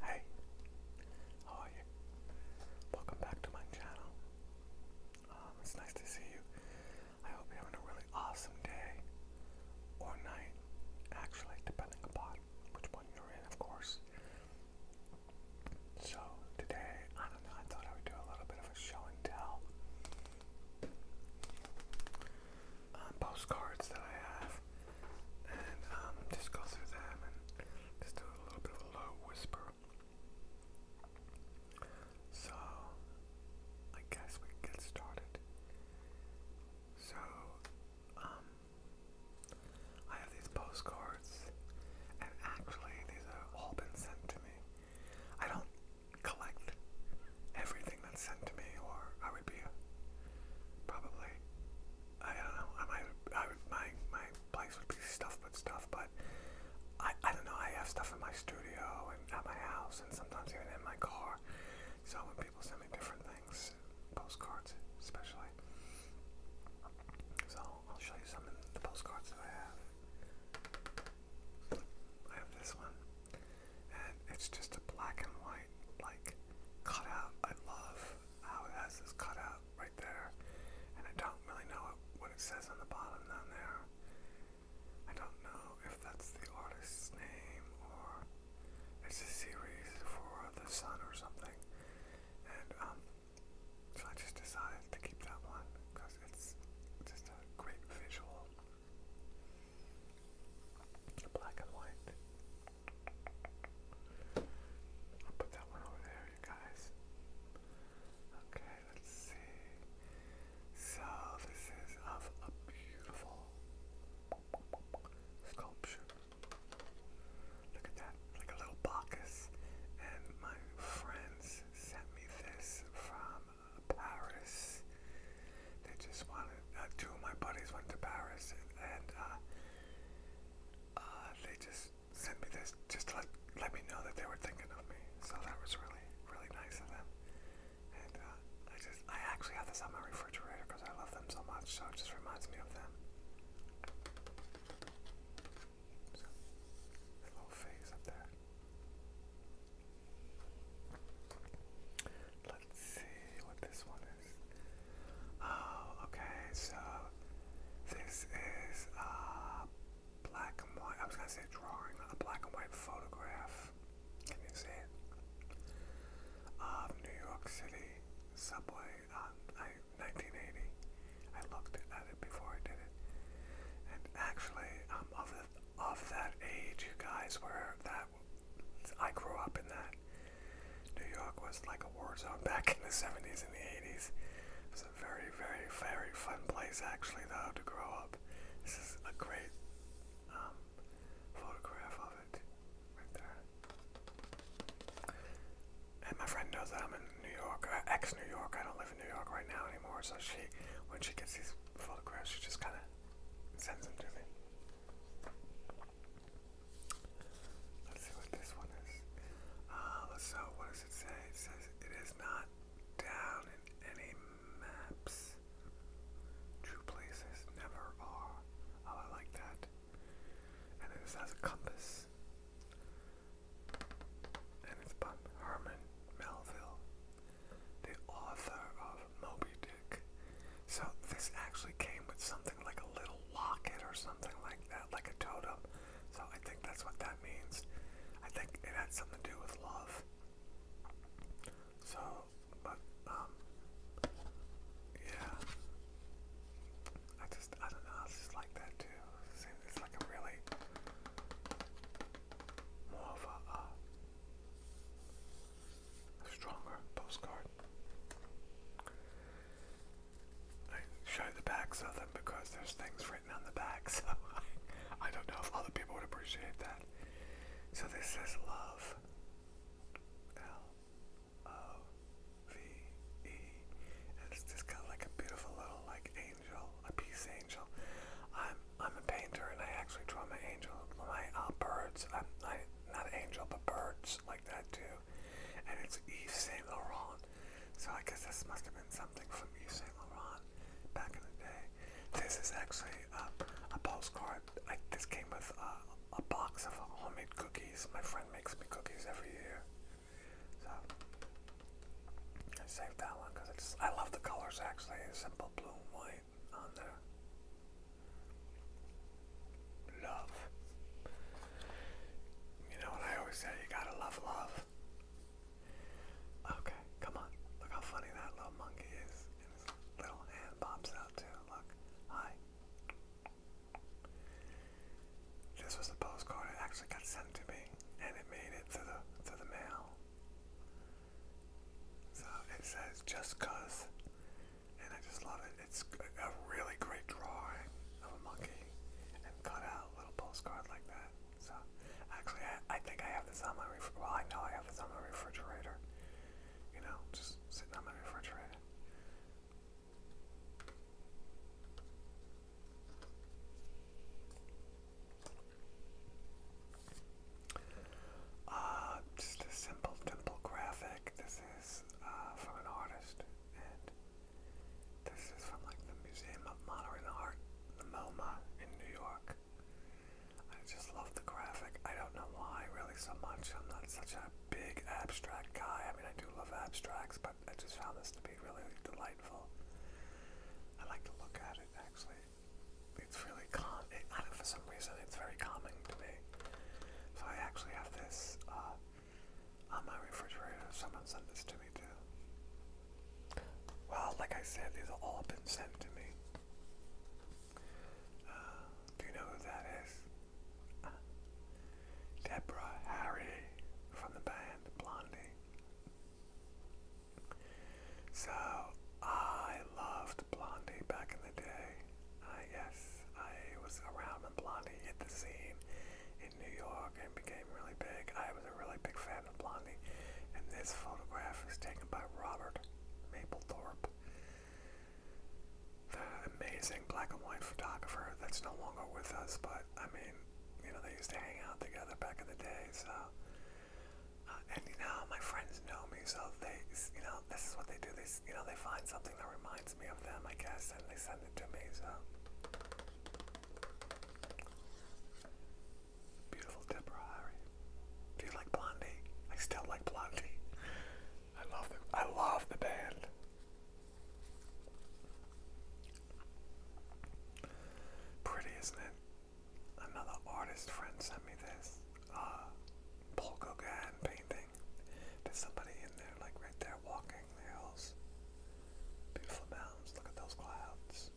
Hey, how are you? Welcome back to my channel. Um, it's nice to see you. I hope you're having a really awesome day or night, actually, depending upon which one you're in, of course. So, today, I don't know, I thought I would do a little bit of a show and tell. Um, postcards that I have and um, just go through them and just do a little bit of a low whisper. So, I guess we can get started. So, um, I have these postcards, and actually, these have all been sent to me. I don't collect everything that's sent to me, or I would be probably I don't know. I might I my my place would be stuff but stuff, but I I don't know. I have stuff in my studio and at my house, and sometimes even in my car. So when people send me different things, postcards especially. So I'll show you some of the postcards that I have. I have this one and it's just a black and white like cutout. I love how it has this cutout right there, and I don't really know what it says on the bottom down there. I don't know if that's the artist's name or it's a series for the sun or something, and um, so I just decided to keep that one because it's just a great visual. Black and white. I'll put that one over there, you guys. Okay, let's see. So, this is of a beautiful sculpture. Look at that, like a little Bacchus. And my friends sent me this from Paris. They just wanted, uh, two of my buddies went to Paris and, and uh, uh, they just sent me this just to let, let me know that they were thinking of me. So that was really, really nice of them. And uh, I just, I actually have this on my refrigerator because I love them so much, so it just reminds me of them. So, little face up there. Let's see what this one is. Oh, okay, so this is a black and white, I was gonna say drawing, a black and white photograph. Can you see it? Of New York City subway on 1980. I looked at it before I did it. And actually, I'm um, of the of that age, you guys, where that I grew up in that. New York was like a war zone back in the 70s and the 80s. It was a very, very, very fun place actually, though, to grow up. This is a great um, photograph of it right there. And my friend knows that I'm in New York, uh, ex-New York. I don't live in New York right now anymore, so she, when she gets these photographs, she just kind of sends them Let's see what this one is. Uh, so, what does it say? It says it is not down in any maps. True places never are. Oh, I like that. And then this has a compass. And it's by Herman Melville the author of Moby Dick. So this actually came with something like a little locket or something like that, like a totem. So I think that's what that means. I think it had something to do with love. So, but, um, yeah. I just, I don't know, I just like that too. It's like a really, more of a, uh, Stronger postcard. I show the backs of them because there's things written on the back, so I don't know if other people would appreciate that. So this says love. L O V E. And it's just got like a beautiful little like angel, a peace angel. I'm I'm a painter and I actually draw my angel, my uh, birds. I'm I, not angel, but birds like that too. And it's Yves Saint Laurent. So I guess this must have been something from Yves Saint Laurent back in the day. This is actually uh, a postcard. I, this came with uh, a box of homemade cookies. My friend makes me cookies every year. So I saved that one because it's I love the colors actually. Simple blue and white on there. Love. You know what I always say, you gotta love love. Okay, come on. Look how funny that little monkey is. little hand pops out too. Look. Hi. This was the postcard. It actually got sent to me, and it made it to the to the mail. So it says just cuz, and I just love it. It's a really great drawing of a monkey and cut out little postcard like that. So actually, I, I think I have this on my well, I know I have this on my refrigerator. You know, just sitting on my refrigerator. Uh, just a simple dimple graphic. This is uh, from an artist, and this is from like the Museum of Modern Art, the MoMA in New York. I just love the graphic. I don't know why really so much. I'm not such a big abstract guy. I mean, I do love abstracts, but I just found this to be really delightful. I like to look at it about it actually. It's really calm. It, I don't, for some reason, it's very calming to me. So I actually have this uh, on my refrigerator. Someone sent this to me too. Well, like I said, these have all been sent to me. Uh, do you know who that is? Uh, Deborah Harry from the band Blondie. So I loved Blondie back in the day. Uh, yes, I was around when Blondie hit the scene in New York and became really big. I was a really big fan of Blondie. And this photograph was taken by Robert Mapplethorpe, the amazing black and white photographer that's no longer with us, but I mean, you know, they used to hang out together back in the day, so. Uh, and you know, my friends know me, so they, you know, this is what they do. They, you know, they find something that reminds me of them, I guess, and they send it to me, so. Beautiful Deborah Harry. Do you like Blondie? I still like Blondie. I love them. I love the band. Pretty, isn't it? Another artist friend sent me this uh, Paul Gauguin painting. There's somebody in there, like right there, walking the hills. Beautiful mountains. Look at those clouds.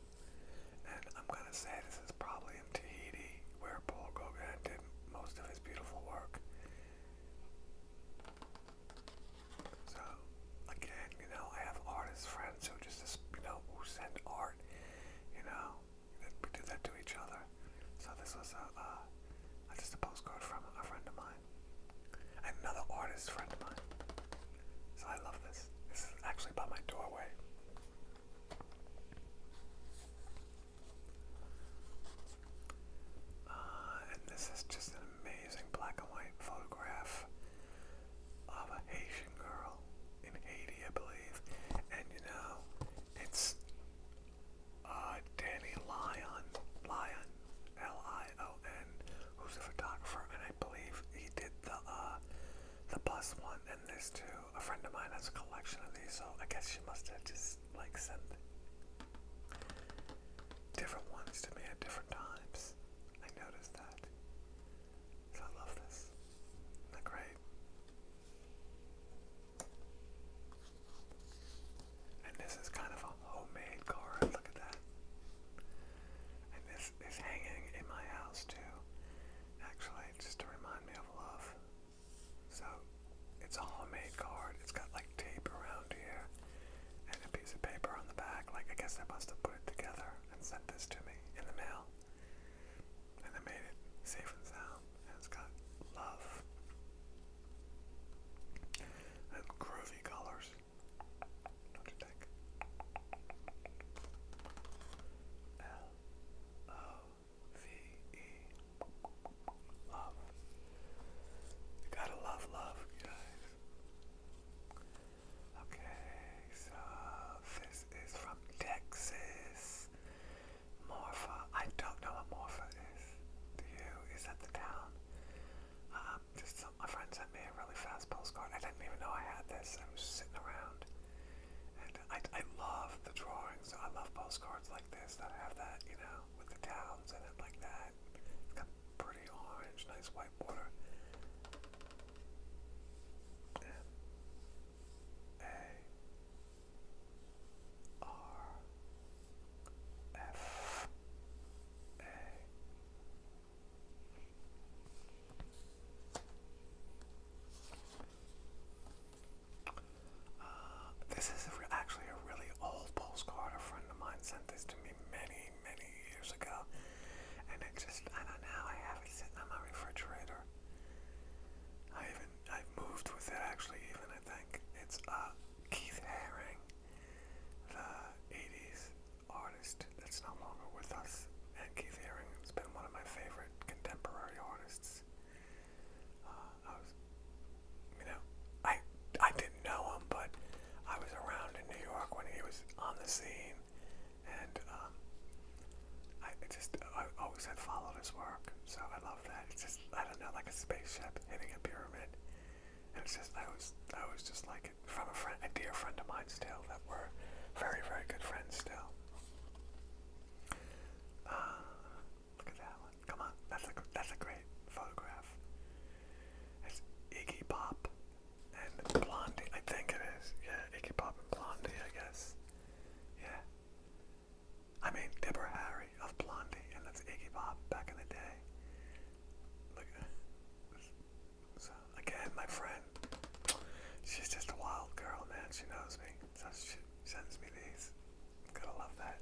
And I'm gonna say this is probably in Tahiti, where Paul Gauguin did most of his beautiful work. So again, you know, I have artist friends who just, you know, who send art, you know, we do that to each other. So this was uh, a, just a postcard from a friend of mine, another artist friend of mine. So I love this. This is actually by my doorway. Uh, and this is just an amazing black and white photograph of a Haitian girl in Haiti, I believe. And you know, it's uh, Danny Lyon, Lyon, L-I-O-N, who's a photographer, and I believe he did the uh, the bus one. And this too. A friend of mine has a collection of these, so I guess she must have just like sent different ones to me at different times. I noticed that. So I love this. Isn't that great? And this is kind of a homemade card. Look at that. And this is hanging in my house too. Actually, just to remind me of love. So it's a homemade card. It's got like tape around here, and a piece of paper on the back. Like, I guess I must have put it together and sent this to me in the mail. And I made it safe and sound, it's got love and groovy colors. do L O V E love. gotta love love, guys. Okay, so this is from Texas. Morpha. I don't know what Morpha is. Do you? Is that the town? Um, just my friend sent me a really fast postcard. I didn't even know I had this. I was sitting around. And I, I love the drawings. I love postcards like this that have that, you know, with the towns in it like that pretty orange, nice white border. M A R F A. Uh, this is actually a really old postcard. A friend of mine sent this to me many, many, years ago. And it just, I don't know, I have it sitting on my refrigerator. I even, I've moved with it actually, even I think. It's uh, Keith Haring, the 80s artist that's no longer with us. And Keith Haring has been one of my favorite contemporary artists. Uh, I was, you know, I I did didn't know him, but I was around in New York when he was on the scene, and um, I just I always had followed his work, so I love that. It's just I don't know, like a spaceship hitting a pyramid, and it's just I was I was just like it from a friend, a dear friend of mine still that we're very very good friends still. Uh, look at that one! Come on, that's a that's a great photograph. It's Iggy Pop and Blondie, I think it is. Yeah, Iggy Pop and Blondie, I guess. Yeah. I mean, Deborah Harry of Blondie, and that's Iggy Pop back in the day. So, again, my friend, she's just a wild girl, man. She knows me. So she sends me these. Gotta love that.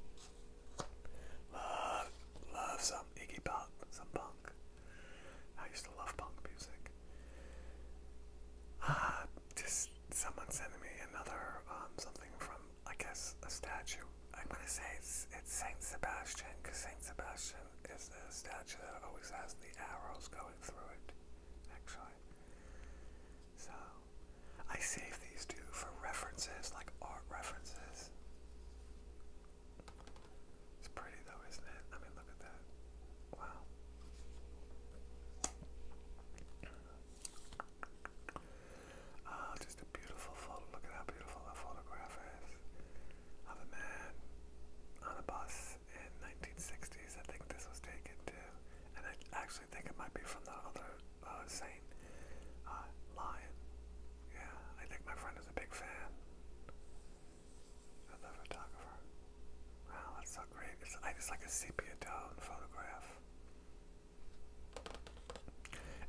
Love, love some Iggy Pop, some punk. I used to love punk music. Ah, just someone sending me another um, something from I guess a statue. I'm gonna say it's it's Saint Sebastian because Saint Sebastian is the statue that always has the arrows going through it. Actually, so I save these two for references, like art references. It's pretty though, isn't it? I mean, look at that. Wow. Oh, just a beautiful photo. Look at how beautiful that photograph is of a man on a bus in 1960s. I think this was taken too. And I actually think it might be from that other uh, Saint uh, Lion. Yeah, I think my friend is a big fan of the photographer. Wow, that's so great. It's, it's like a sepia tone photograph.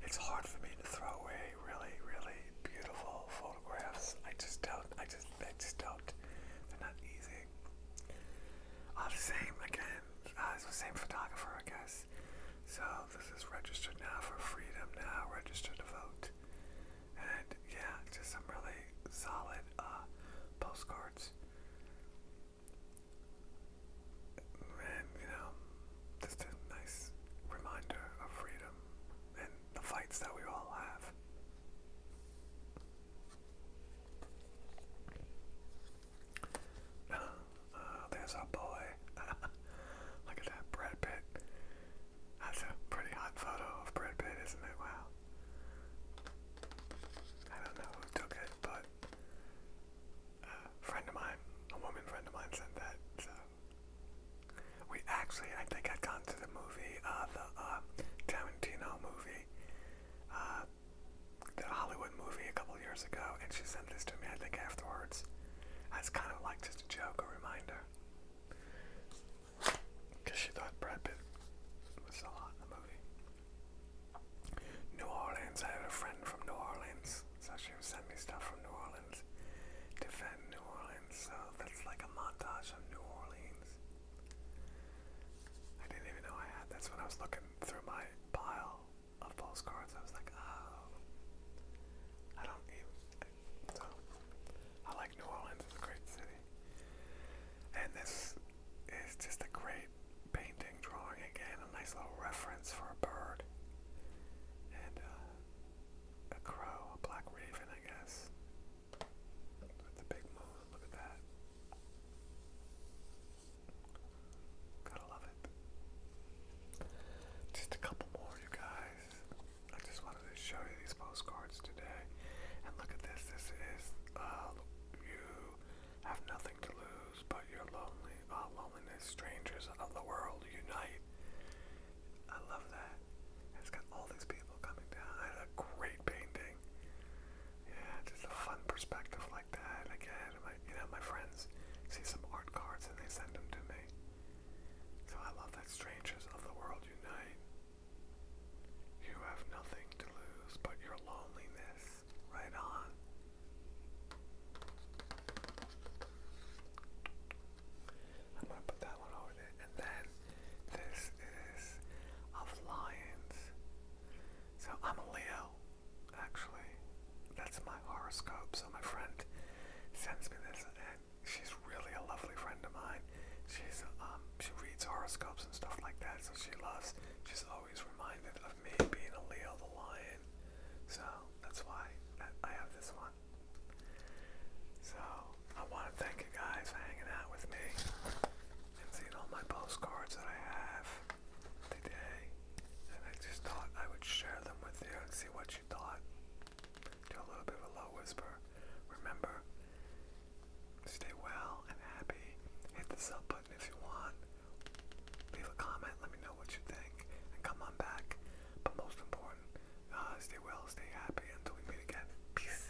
It's hard for me to throw away really, really beautiful photographs. I just don't. I just. I just don't. They're not easy. the uh, same again. Uh, it's the same photographer, I guess. So this is registered now for freedom now, registered to vote. And yeah, just some really solid uh, postcards. And you know, just a nice reminder of freedom and the fights that we all have. Oh, there's our boy. Look at that, Brad Pitt. That's a pretty hot photo of Brad Pitt, isn't it? Wow. I don't know who took it, but a uh, friend of mine, a woman friend of mine, sent that. So we actually, I think, I'd gone to the movie, uh, the uh, Tarantino movie. Uh, did a Hollywood movie a couple years ago, and she sent this to me, I think, afterwards. As kind of like just a joke, a reminder. Because she thought Brad Pitt was a lot in the movie. New Orleans, I had a friend from New Orleans, so she would send me stuff from New Orleans. Defend New Orleans, so that's like a montage of New Orleans. I didn't even know I had. That's when I was looking through my pile of false cards. I was like, oh, I don't even. So, I like New Orleans, it's a great city. And this is just a great painting, drawing again, a nice little reference for a bird. And uh, a crow, a black raven, I guess. With the big moon, look at that. Gotta love it. Just a couple more, you guys. I just wanted to show you these postcards today. And look at this. This is uh, you have nothing to lose but your lonely, uh, loneliness. Strangers of the world unite. I love that. It's got all these people coming down. I a great painting. Yeah, just a fun perspective that. I you know, my friends see some art cards and they send them to me. So I love that strangers of the world unite. You have nothing to lose but your loneliness. Right on. I'm gonna put that one over there. And then this is of lions. So I'm a Leo. Actually, that's my horoscope. So my friend sends me this, and she's really a lovely friend of mine. She's um she reads horoscopes and stuff like that, so she loves. She's always reminded of me being a Leo the Lion, so that's why I have this one. So I want to thank you guys for hanging out with me and seeing all my postcards that I have today, and I just thought I would share them with you and see what you thought. Do a little bit of a low whisper. Remember, stay well and happy. Hit the sub button if you want. Leave a comment. Let me know what you think, and come on back. But most important, uh, stay well, stay happy until we meet again. Peace.